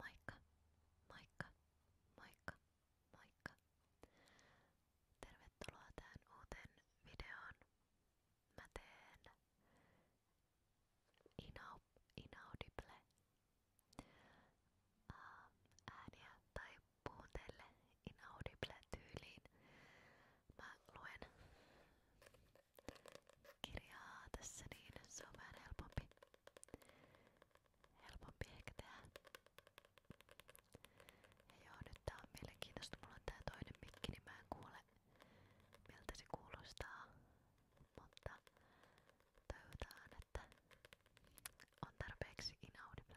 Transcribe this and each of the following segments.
Moikka, moikka, moikka, moikka. Tervetuloa tähän uuteen videoon. Mä teen inau, inaudible ähm, ääniä tai puhun teille inaudible tyyliin. Mä luen kirjaa tässä niin, se on vähän helpompi. Helpompi ehkä tehdä. Ja joo, nyt tää on mielenkiintoista. Mulla on tää toinen mikki, niin mä en kuule miltä se kuulostaa. Mutta toivotaan, että on tarpeeksi inaudible.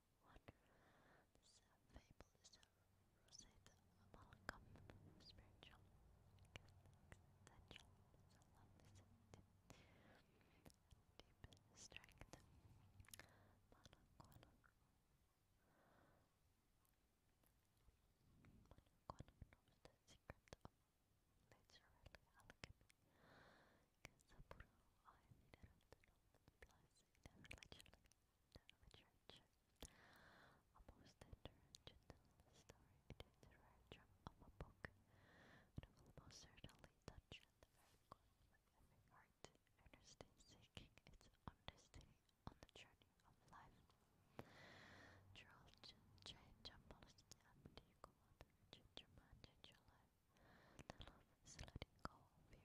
Water. This fable is a Rosetta Malcolm spiritual existential. love is deep strength. Malcolm. Malcolm secret of literally Kasapuro plus in a relationship with church. A most tender and gentle story it is the rare of a book that will most certainly touch the very core of every heart, earnestly seeking its own on the journey of life. Charles J. Jambal, Abdi Kumad, Gingerman, Gingerla, the love go Rarely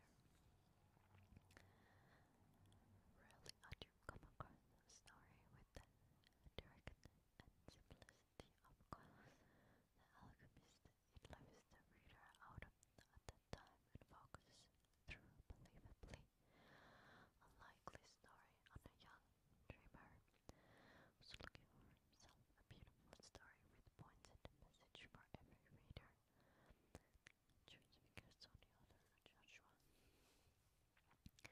I do come across a story with the directness and simplicity of course. The alchemist it leaves the reader out of at the time and focuses through believably unlikely story on a young dreamer looking for himself a beautiful story with points message for every reader transfixed This is the type of book that makes you understand more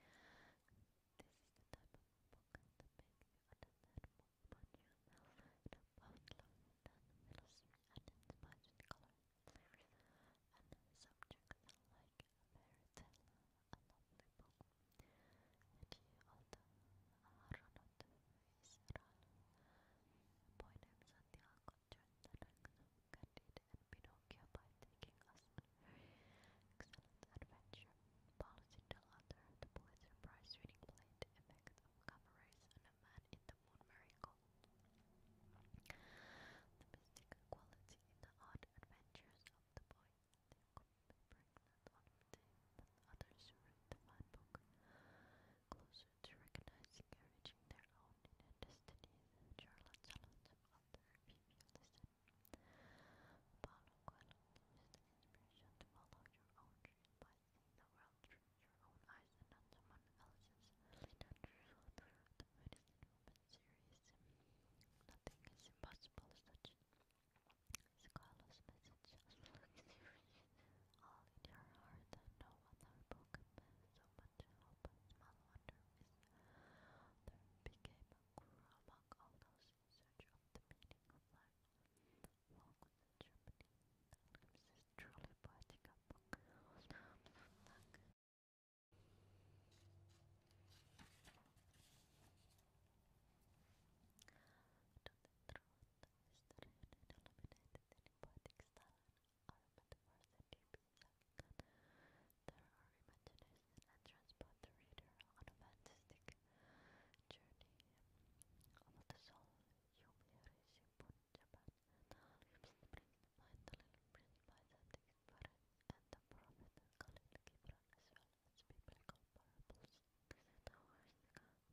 about yourself and about color, and subjects like a fairy tale, book. And you also are not Cicerón appointed Santiago during the reign of and Pinocchio by taking us on excellent adventure. Policy Delator, the Pulitzer Prize winning play The of Coverage on a Man in the Moon Miracle. The mystic quality in the odd adventures of the boy. They could be pregnant on the day, but others read the fine book to recognizing and their own inner destinies. Charlotte Charlotte author P. Listen. Paulo Coelho the inspiration to follow your own dream by seeing the world through your own eyes and not someone else's. The Medicine Woman series. Nothing is impossible, such Carlos' message. all in your heart and no other book so much hope. Small wonder is there became a among all those in the meaning of life. Walk with Germany. This is truly poetic a book. To the truth is poetic style and metaphors that deeply There are imagination and transport the reader on a fantastic journey of the soul. Yumi Japan, the volumes bring to mind the little prince by the spirit and the prophet Khalil Gibran as well as biblical parables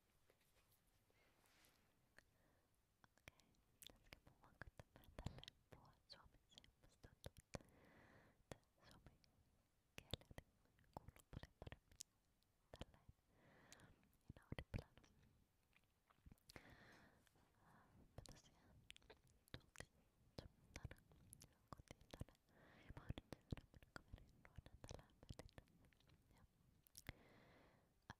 Okej, sen ska man vara kunna på suomeksi. Musta tuntuu, että suomen kieleni kuuluu paljon paremmin tälleen inaudiblana. Me tosiaan tultiin sunnuntaina kotiin tänne ja mä oon nyt seuraavan kaverin luona täällä Mätin. Ja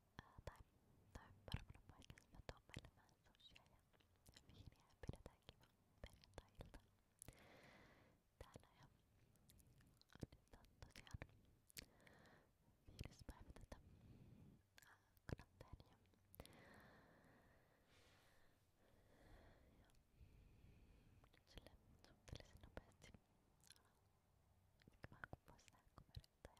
tai, tai varmaan paikassa mä tuon meille vähän sushia ja viiniä ja pidetään kiva perjantai-ilta täällä ja nyt on tosiaan viides päivä tätä äh, karanteenia ja nyt silleen suhteellisen nopeasti vähän kuvaus tähän kamerittaa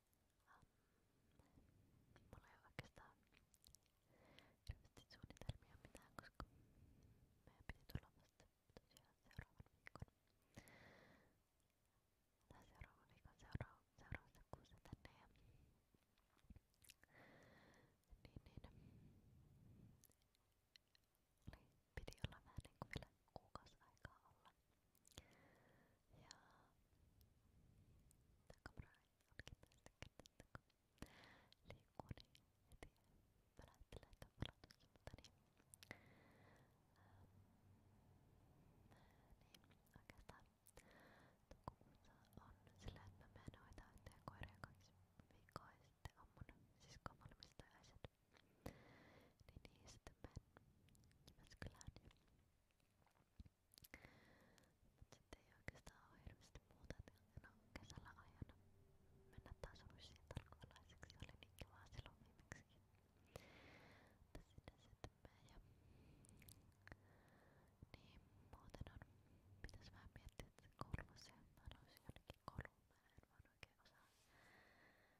Mulla ei oikeastaan hirveästi suunnitelmia mitään, koska meidän piti tulla vasta tosiaan seuraavan viikon tai seuraavan viikon seura seuraavassa kuussa tänne ja niin niin oli, piti olla vähän niin kuin vielä kuukausi aikaa olla ja tämä kamera onkin tästä kätettä, kun liikkuu niin heti väläyttelee tämän palautusilta, niin, ähm, niin oikeastaan toukokuussa on sillä, että mä menen hoitaa yhteen koiria kaksi viikkoa ja sitten on mun siskon valmistajaiset. Niin, niin sitten menen Jyväskylään ja Mut sit ei oikeastaan ole hirveästi muuta, et no kesällä aion mennä taas russiin tarkkalaiseksi, oli niin kivaa silloin viimeksikin. Mutta sinne sitten menen ja... Niin, muuten on... Pitäis vähän miettiä, että kouluvuosia mä haluaisin jonnekin kouluun, mä en vaan oikein osaa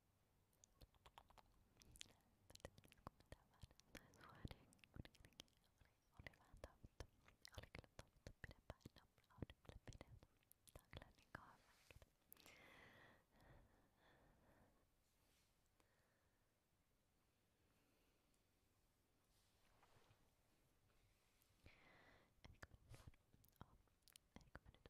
Mutta oli vähän toivottu. Oli kyllä toivottu pidempään. No, oli kyllä pidempään. Tää on kyllä niin kauan Eikö mä nyt vaan, oh, eikö mä nyt vaan yritän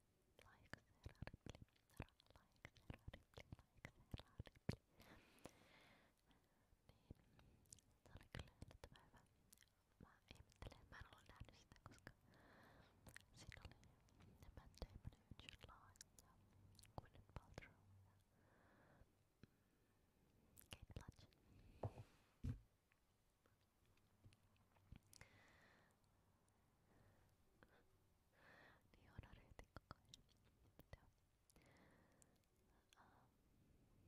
like Sarah Ripley, like Sarah Ripley, like Sarah Ripley. Niin, se oli kyllä yllättävän hyvä. Mä ihmettelen, mä en ollut nähnyt sitä, koska siinä oli Matt Damon ja Jude Law ja Gwyneth Paltrow ja Kate Blanchett. Niin on arehti koko ajan. Mitä? Uh, pitäisikö mun kokeilla tämmöstä? Jos mä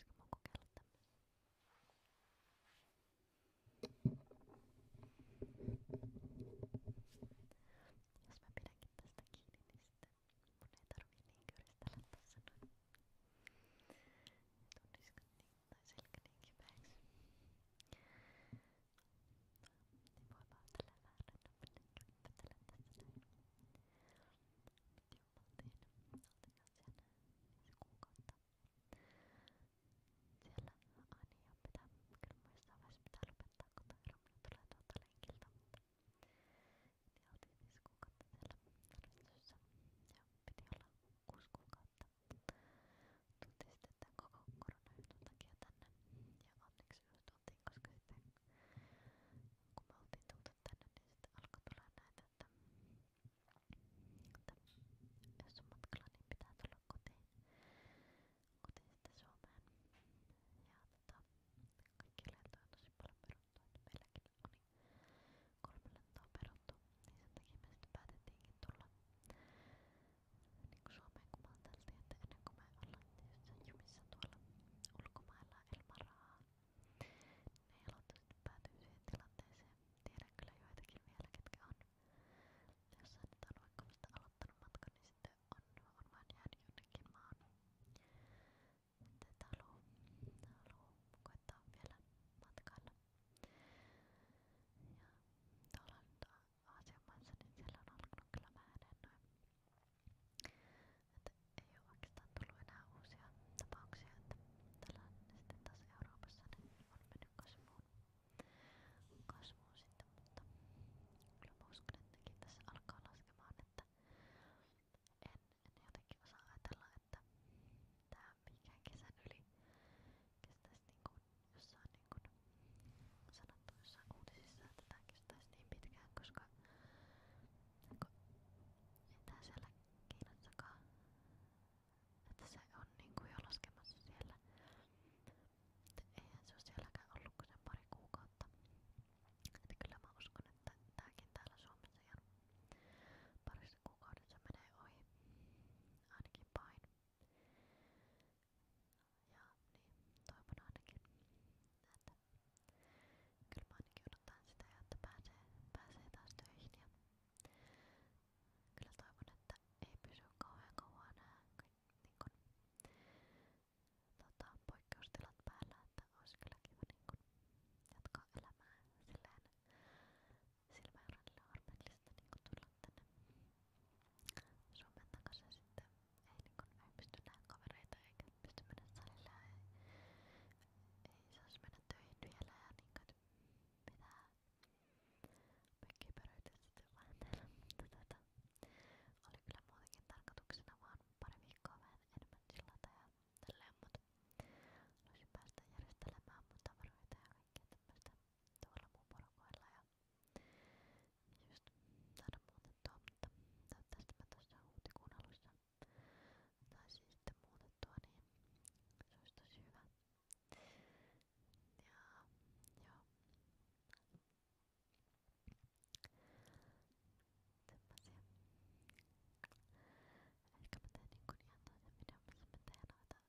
pidänkin tästä kiinni, niin sitten mun ei tarvii niin kyyristellä tässä noin. Tunniskaan niin tai selkäniinkin päiksi. Niin voi vaan tällä vääränä käppätellä tässä näin. Nyt jo oltiin, oltiin siellä viisi kuukautta. Siellä Ani ja pitää, kyllä muistaa vaiheessa pitää lopettaa, kun Tairomina tulee tuolta lenkiltä. Niin oltiin viisi kuukautta siellä tarvistossa ja piti olla kuusi kuukautta kautta. Tultiin sitten tämän koko koronajutun takia tänne ja onneksi just tultiin, koska sitten kun me oltiin tultu tänne, niin sitten alkoi tulla näitä, että, että jos on matkalla, niin pitää tulla kotiin, kotiin sitten Suomeen. Ja tota, kaikki oli tosi paljon peruttua, että meilläkin oli kolme lentoa peruttu, niin sen takia me sitten päätettiinkin tulla niin kuin Suomeen, kun me ajateltiin, että ennen kuin me ollaan jossain jumissa tuolla ulkomailla ilman rahaa, ne niin ei aloittaa päätyy siihen tilanteeseen. Tiedän kyllä joitakin vielä, ketkä on jossain nyt on vaikka vasta aloittanut matkan, niin sitten on, on vaan jäänyt jonnekin maan. Tätä haluaa koettaa vielä matkailla siellä. Ja tuolla Aasian maissa, niin siellä on alkanut kyllä vähän noin. Että ei ole oikeastaan tullut enää uusia tapauksia, että tällä sitten taas Euroopassa niin on mennyt kasvuun. kasvuun sitten, mutta kyllä mä uskon, että tässä alkaa laskemaan, että en, en jotenkin osaa ajatella, että tää mikään kesän yli kestäisi niinku jossain niinku sanottu jossain uutisissa, että tää kestäisi niin pitkään, koska ei tää siellä Kiinassakaan että se on niinku jo laskemassa siellä eihän se oo sielläkään ollut kuin sen pari kuukautta että kyllä mä uskon, että tääkin täällä Suomessa ihan parissa kuukaudessa menee ohi ainakin pain. Ja niin, toivon ainakin, että kyllä mä ainakin odotan sitä, että pääsee, pääsee taas töihin ja kyllä toivon, että ei pysy kauhean kauan nää niin kun, tota, poikkeustilat päällä, että olisi kyllä kiva niin kun, jatkaa elämää silleen silmääränillä harpeklista niinku tulla tänne Suomen takas ja sitten ei, niinku, ei pysty näin kavereita eikä pysty mennä salille ja ei, ei saisi mennä töihin vielä ja niinku et pitää pökkipäröityä sitten vähän täällä mutta tota oli kyllä muutenkin tarkoituksena vaan pari viikkoa vähän enemmän sillata ja tälleen mut haluaisin päästä järjestelemään mun tavaroita ja kaikkea tämmöstä tuolla mun porukoilla ja just saada muutettua, mutta toivottavasti mä tuossa huhtikuun alussa taisin sitten muutettua, niin se olisi tosi hyvä. Ja joo. Semmosia. Ehkä mä teen niinku ihan niin toisen videon, missä mä teen noita